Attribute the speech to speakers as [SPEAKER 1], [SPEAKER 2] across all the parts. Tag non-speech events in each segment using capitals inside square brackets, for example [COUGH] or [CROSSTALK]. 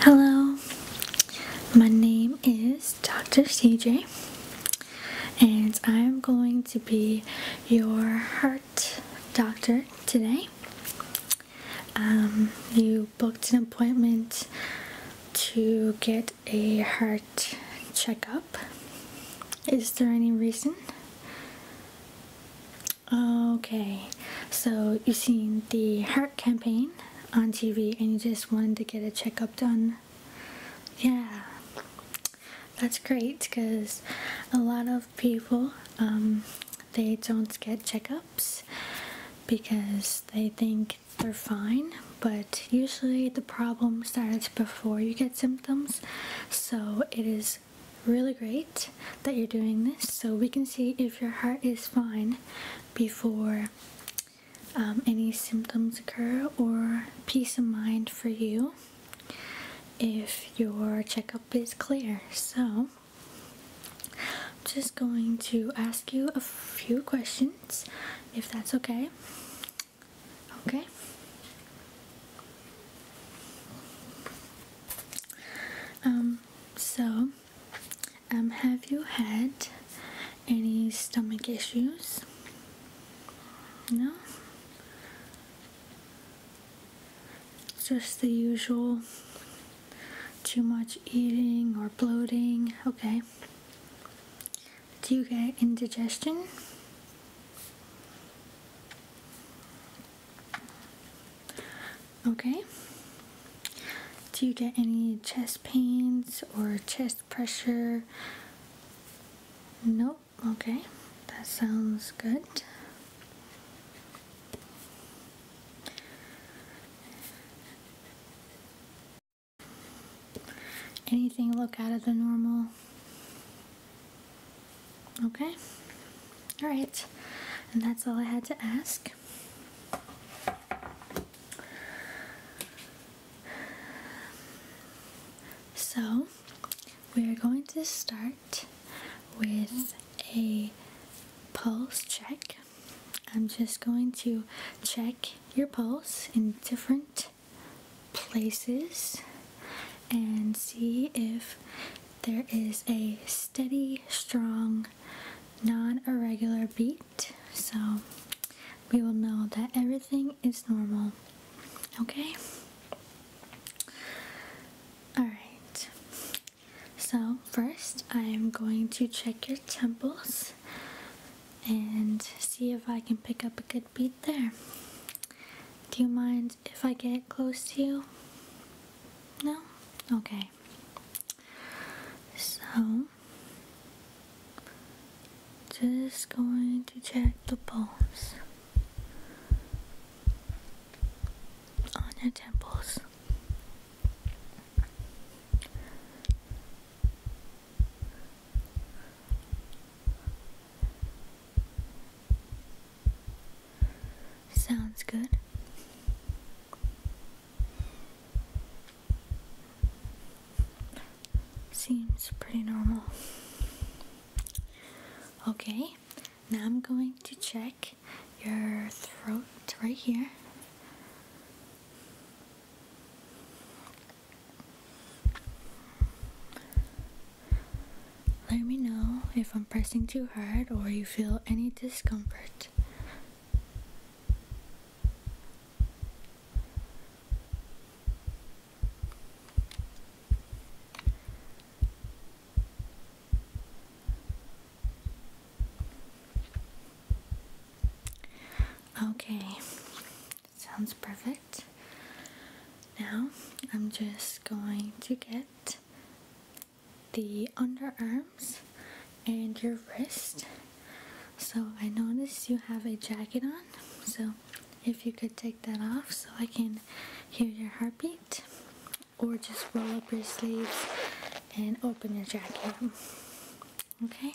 [SPEAKER 1] Hello, my name is Dr. CJ, and I'm going to be your heart doctor today. Um, you booked an appointment to get a heart checkup. Is there any reason? Okay, so you've seen the heart campaign on TV and you just wanted to get a checkup done. Yeah, that's great because a lot of people um, they don't get checkups because they think they're fine, but usually the problem starts before you get symptoms, so it is really great that you're doing this so we can see if your heart is fine before um, any symptoms occur or peace of mind for you if your checkup is clear. So, just going to ask you a few questions if that's okay. Okay. Um, so um, have you had any stomach issues? No? Just the usual too much eating or bloating. Okay. Do you get indigestion? Okay. Do you get any chest pains or chest pressure? Nope. Okay. That sounds good. Anything look out of the normal? Okay. All right, and that's all I had to ask. So, we are going to start with a pulse check. I'm just going to check your pulse in different places and see if there is a steady, strong, non-irregular beat, so we will know that everything is normal. Okay? Alright. So, first, I am going to check your temples and see if I can pick up a good beat there. Do you mind if I get close to you? No? Okay. So, just going to check the bones on your temples. Sounds good. Seems pretty normal. Okay, now I'm going to check your throat right here. Let me know if I'm pressing too hard or you feel any discomfort. Okay, sounds perfect. Now I'm just going to get the underarms and your wrist. So I noticed you have a jacket on, so if you could take that off so I can hear your heartbeat or just roll up your sleeves and open your jacket. Okay?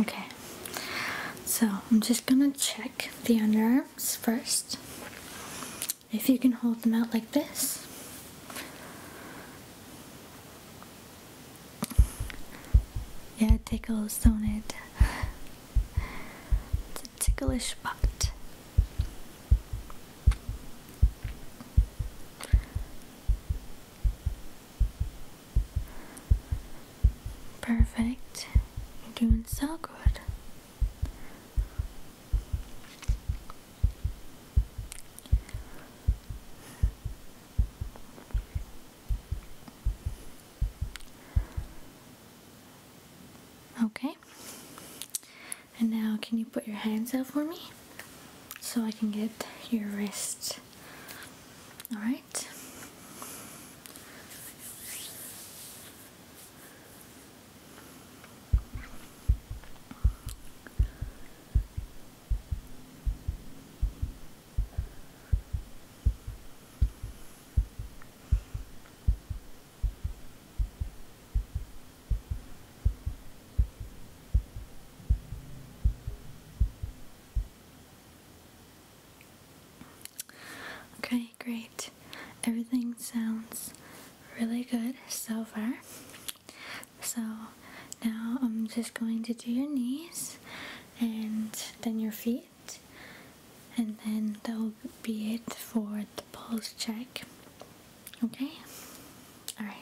[SPEAKER 1] Okay, so I'm just gonna check the underarms first. If you can hold them out like this, yeah, it tickles, don't it? It's a ticklish spot. Perfect. You're doing so good. Okay. And now, can you put your hands out for me so I can get your wrist? Alright. Okay, great. Everything sounds really good so far. So now I'm just going to do your knees and then your feet, and then that will be it for the pulse check. Okay? Alright.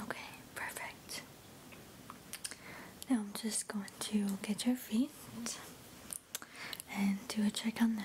[SPEAKER 1] Okay, perfect. Now I'm just going to get your feet and do a check on them.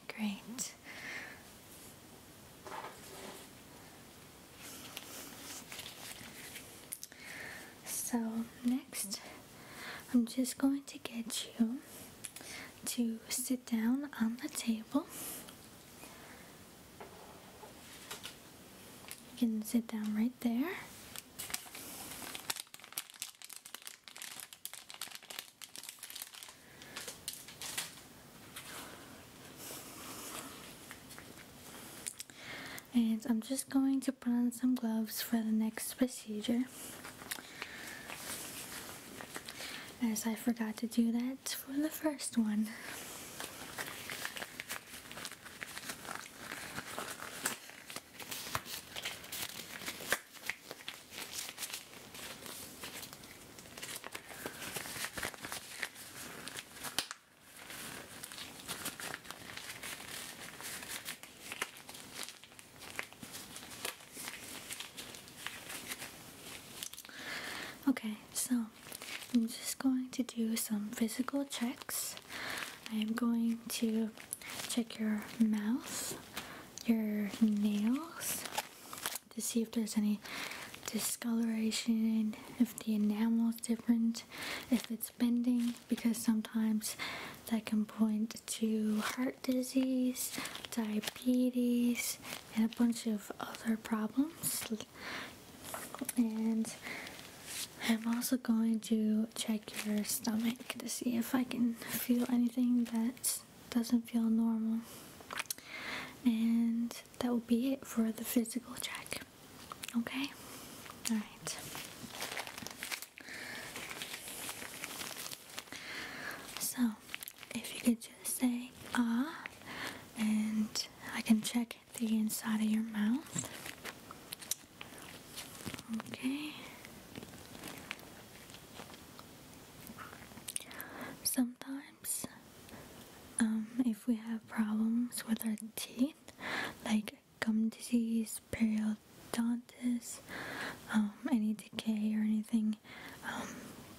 [SPEAKER 1] great. So, next, I'm just going to get you to sit down on the table. You can sit down right there. And I'm just going to put on some gloves for the next procedure. As I forgot to do that for the first one. Okay, so I'm just going to do some physical checks. I am going to check your mouth, your nails, to see if there's any discoloration, if the enamel is different, if it's bending, because sometimes that can point to heart disease, diabetes, and a bunch of other problems. And I'm also going to check your stomach to see if I can feel anything that doesn't feel normal. And that will be it for the physical check. Okay? Alright. So, if you could just say ah, and I can check the inside of your mouth. Okay. Sometimes, um, if we have problems with our teeth, like gum disease, periodontitis, um, any decay or anything, um,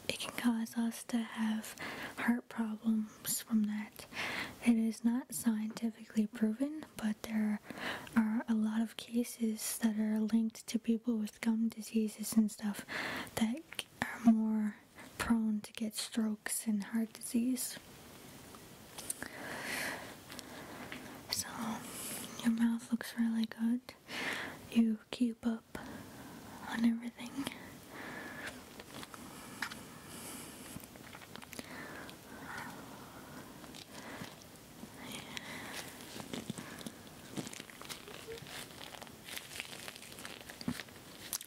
[SPEAKER 1] it can cause us to have heart problems from that. It is not scientifically proven, but there are a lot of cases that are linked to people with gum diseases and stuff that are more prone to get strokes and heart disease. So, your mouth looks really good. You keep up on everything.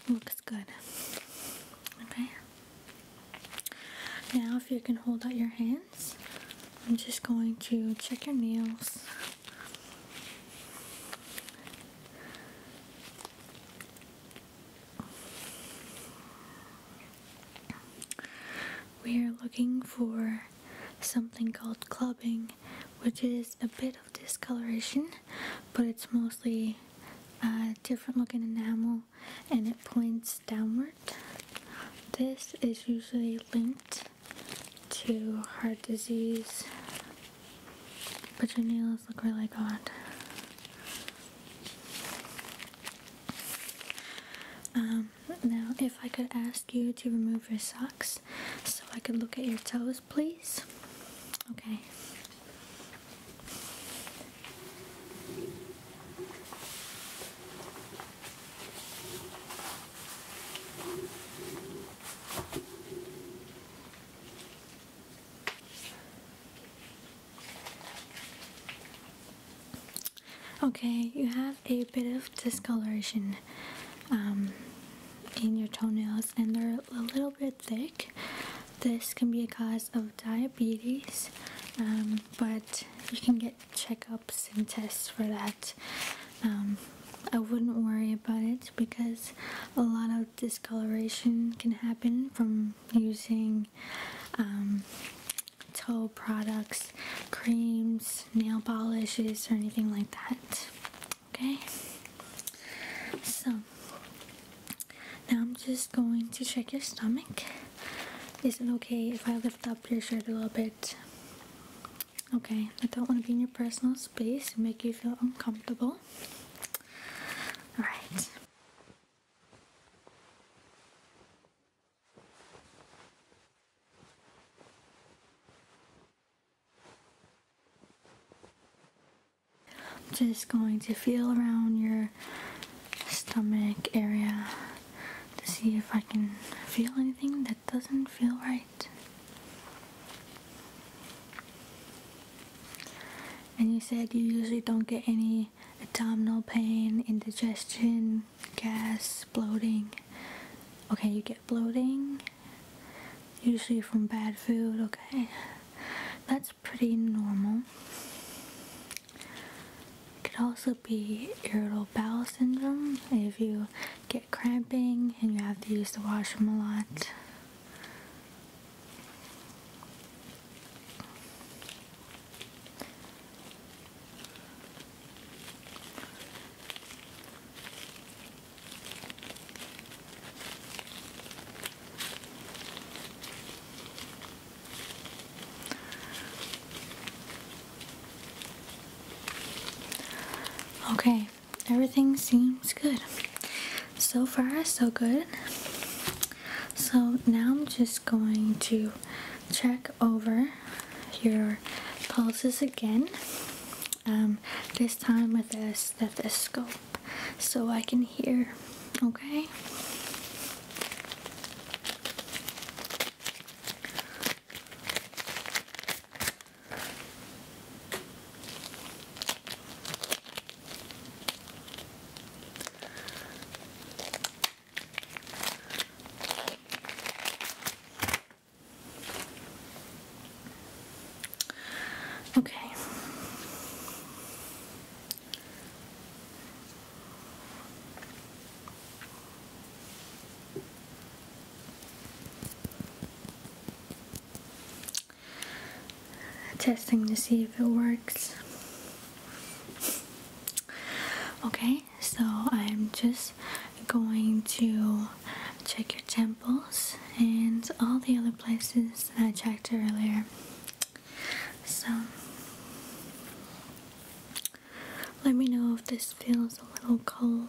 [SPEAKER 1] Looks good. Okay. Now, if you can hold out your hands, I'm just going to check your nails. We are looking for something called clubbing, which is a bit of discoloration, but it's mostly a different looking enamel and it points downward. This is usually linked to heart disease, but your nails look really good. Um, now if I could ask you to remove your socks so I could look at your toes, please. Okay. Okay, you have a bit of discoloration um, in your toenails and they're a little bit thick. This can be a cause of diabetes, um, but you can get checkups and tests for that. Um, I wouldn't worry about it because a lot of discoloration can happen from using toe products, creams, nail polishes, or anything like that. Okay? So, now I'm just going to check your stomach. Is it okay if I lift up your shirt a little bit? Okay, I don't want to be in your personal space and make you feel uncomfortable. Alright. I'm just going to feel around your stomach area to see if I can feel anything that doesn't feel right. And you said you usually don't get any abdominal pain, indigestion, gas bloating. Okay, you get bloating usually from bad food, okay? That's pretty normal. It could also be irritable bowel syndrome if you get cramping and you have to use the washroom a lot. Okay, everything seems good. So far, so good. So now I'm just going to check over your pulses again. Um, this time with a stethoscope so I can hear, okay? Okay. Testing to see if it works. Okay, so i'm just going to check your temples and all the other places that i checked earlier so let me know if this feels a little cold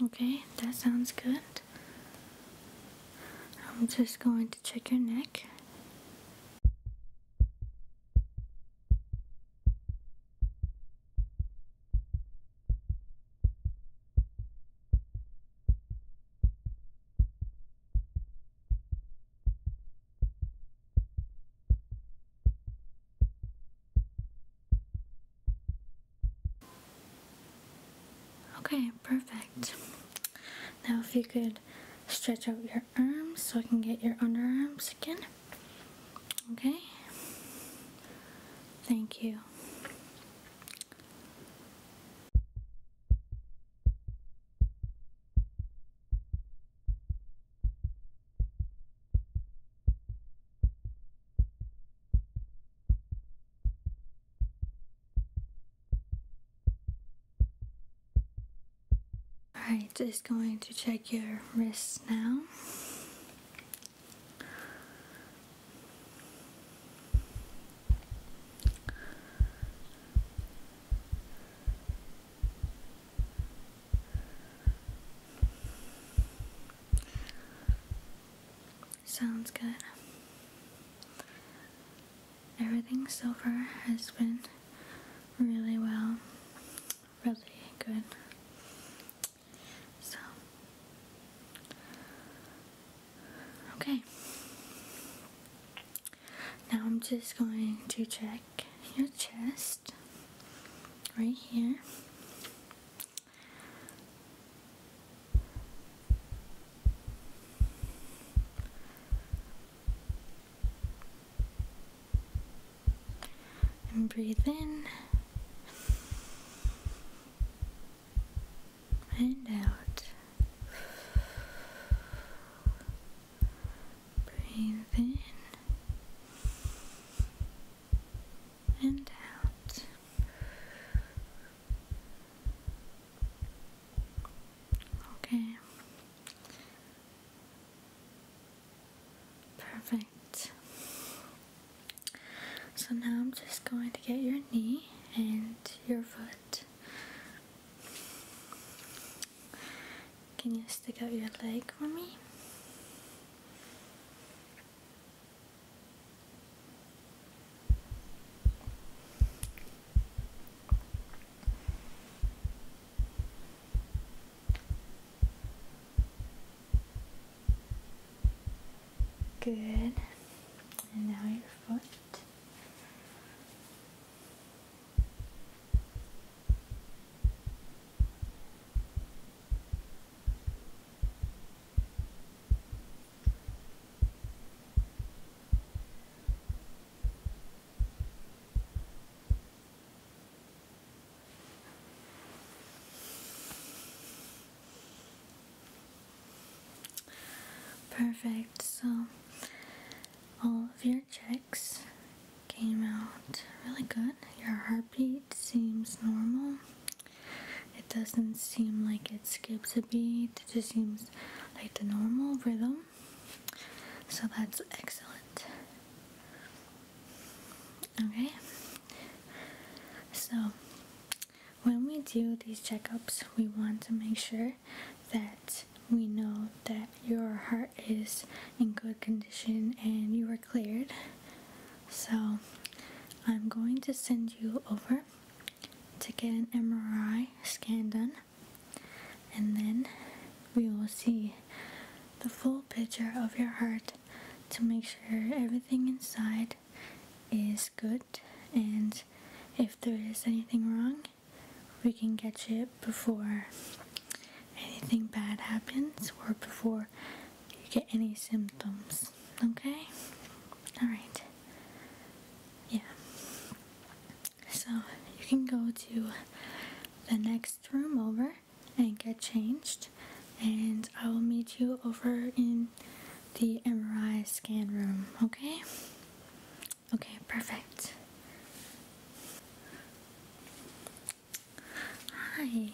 [SPEAKER 1] Okay, that sounds good. I'm just going to check your neck. Okay, perfect. Now if you could stretch out your arms so I can get your underarms again. Okay? Thank you. Alright, just going to check your wrists now. Sounds good. Everything so far has been really well, really good. So, okay. Now I'm just going to check your chest right here. And breathe in and out. Breathe in and out. Okay. Perfect. So now I'm just going to get your knee and your foot. Can you stick out your leg for me? Good. And now your foot. Perfect, so all of your checks came out really good. Your heartbeat seems normal. It doesn't seem like it skips a beat, it just seems like the normal rhythm. So that's excellent. Okay? So, when we do these checkups, we want to make sure that we know that your heart is in good condition and you are cleared. So, I'm going to send you over to get an MRI scan done and then we will see the full picture of your heart to make sure everything inside is good and if there is anything wrong we can catch it before anything bad happens or before you get any symptoms okay all right yeah so you can go to the next room over and get changed and I will meet you over in the MRI scan room, okay? Okay, perfect. Hi.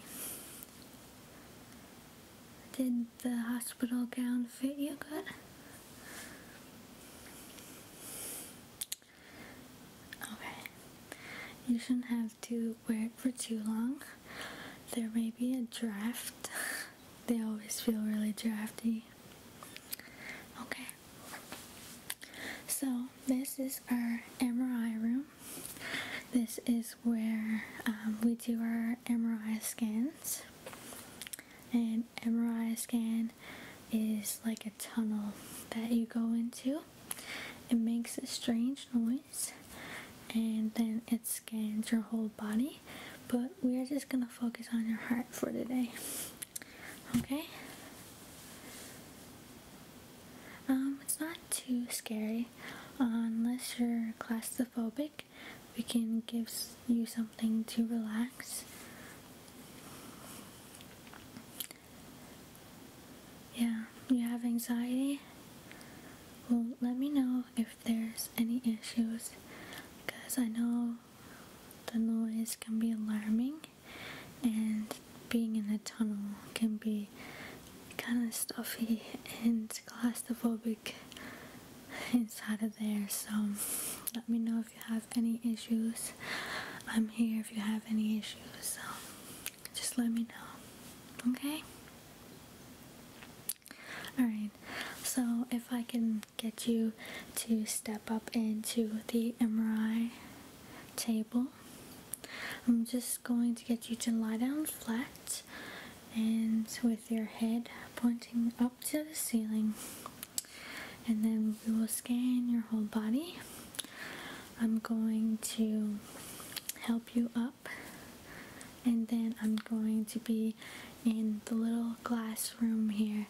[SPEAKER 1] Did the hospital gown fit you good? Okay. You shouldn't have to wear it for too long. There may be a draft. [LAUGHS] they always feel really drafty. Okay. So, this is our MRI room. This is where um, we do our MRI scans. An MRI scan is like a tunnel that you go into it makes a strange noise and then it scans your whole body, but we are just gonna focus on your heart for today. Okay? Um, it's not too scary unless you're claustrophobic. We can give you something to relax. Yeah, you have anxiety? Well, let me know if there's any issues because I know the noise can be alarming and being in a tunnel can be kind of stuffy and claustrophobic inside of there so let me know if you have any issues i'm here if you have any issues so just let me know. Okay? Alright, so if I can get you to step up into the MRI table, I'm just going to get you to lie down flat and with your head pointing up to the ceiling, and then we will scan your whole body. I'm going to help you up and then I'm going to be in the little glass room here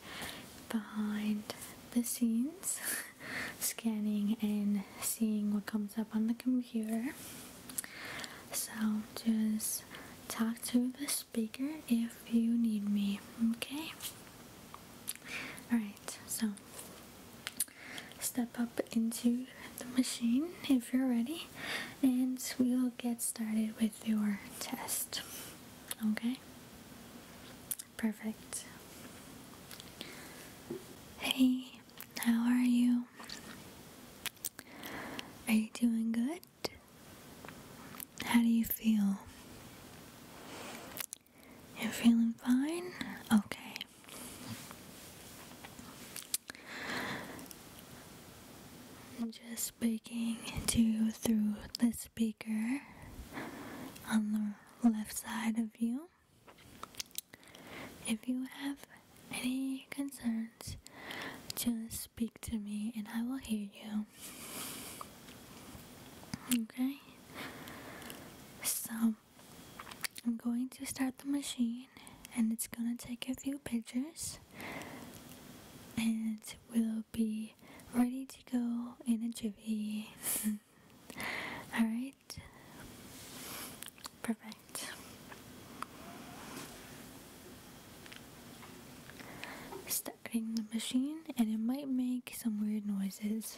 [SPEAKER 1] behind the scenes [LAUGHS] scanning and seeing what comes up on the computer so just talk to the speaker if you need me okay all right so step up into the machine if you're ready, and we'll get started with your test. Okay? Perfect. Hey, how are you? Are you doing good? How do you feel? You're feeling fine? Okay. I'm just speaking to you through the speaker on the left side of you. If you have any concerns, just speak to me and I will hear you. Okay? So, I'm going to start the machine and it's gonna take a few pictures and we'll be ready to go in a jiffy. [LAUGHS] Alright? Perfect. Starting the machine and it might make some weird noises.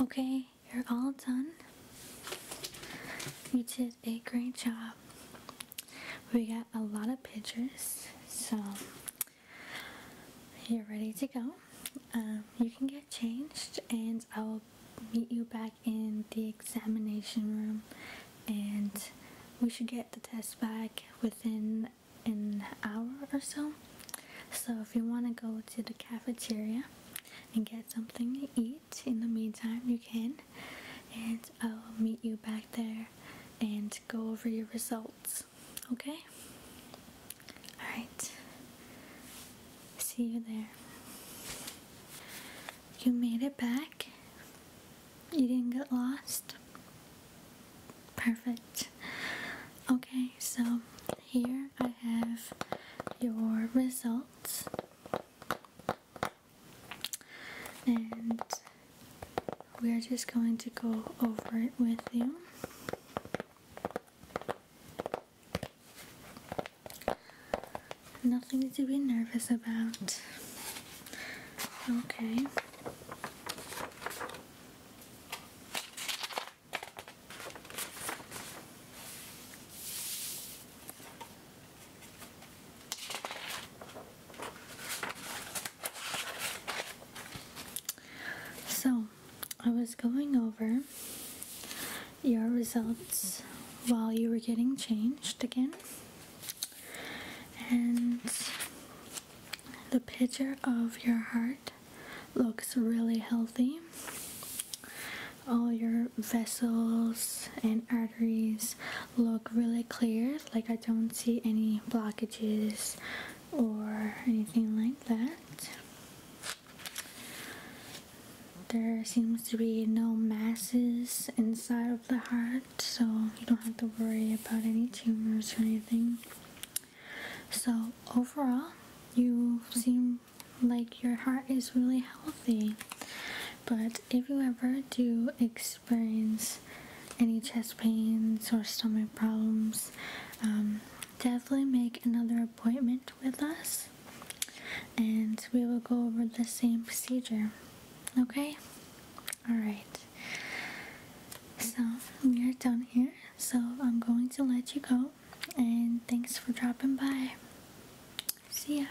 [SPEAKER 1] Okay, you're all done. You did a great job. We got a lot of pictures, so you're ready to go. Um, you can get changed, and I will meet you back in the examination room, and we should get the test back within an hour or so. So if you want to go to the cafeteria and get something to eat in the meantime, you can. And I will meet you back there and go over your results. Okay? Alright. See you there. You made it back. You didn't get lost. Perfect. Okay, so here I have your results and we're just going to go over it with you. Nothing to be nervous about. Okay. So, I was going over your results while you were getting changed again. And the picture of your heart looks really healthy. All your vessels and arteries look really clear like I don't see any blockages or anything like that there seems to be no masses inside of the heart so you don't have to worry about any tumors or anything so overall you seem like your heart is really healthy but if you ever do experience experience any chest pains or stomach problems, um, definitely make another appointment with us and we will go over the same procedure. Okay? Alright. So, we are done here. So, I'm going to let you go. And thanks for dropping by. See ya.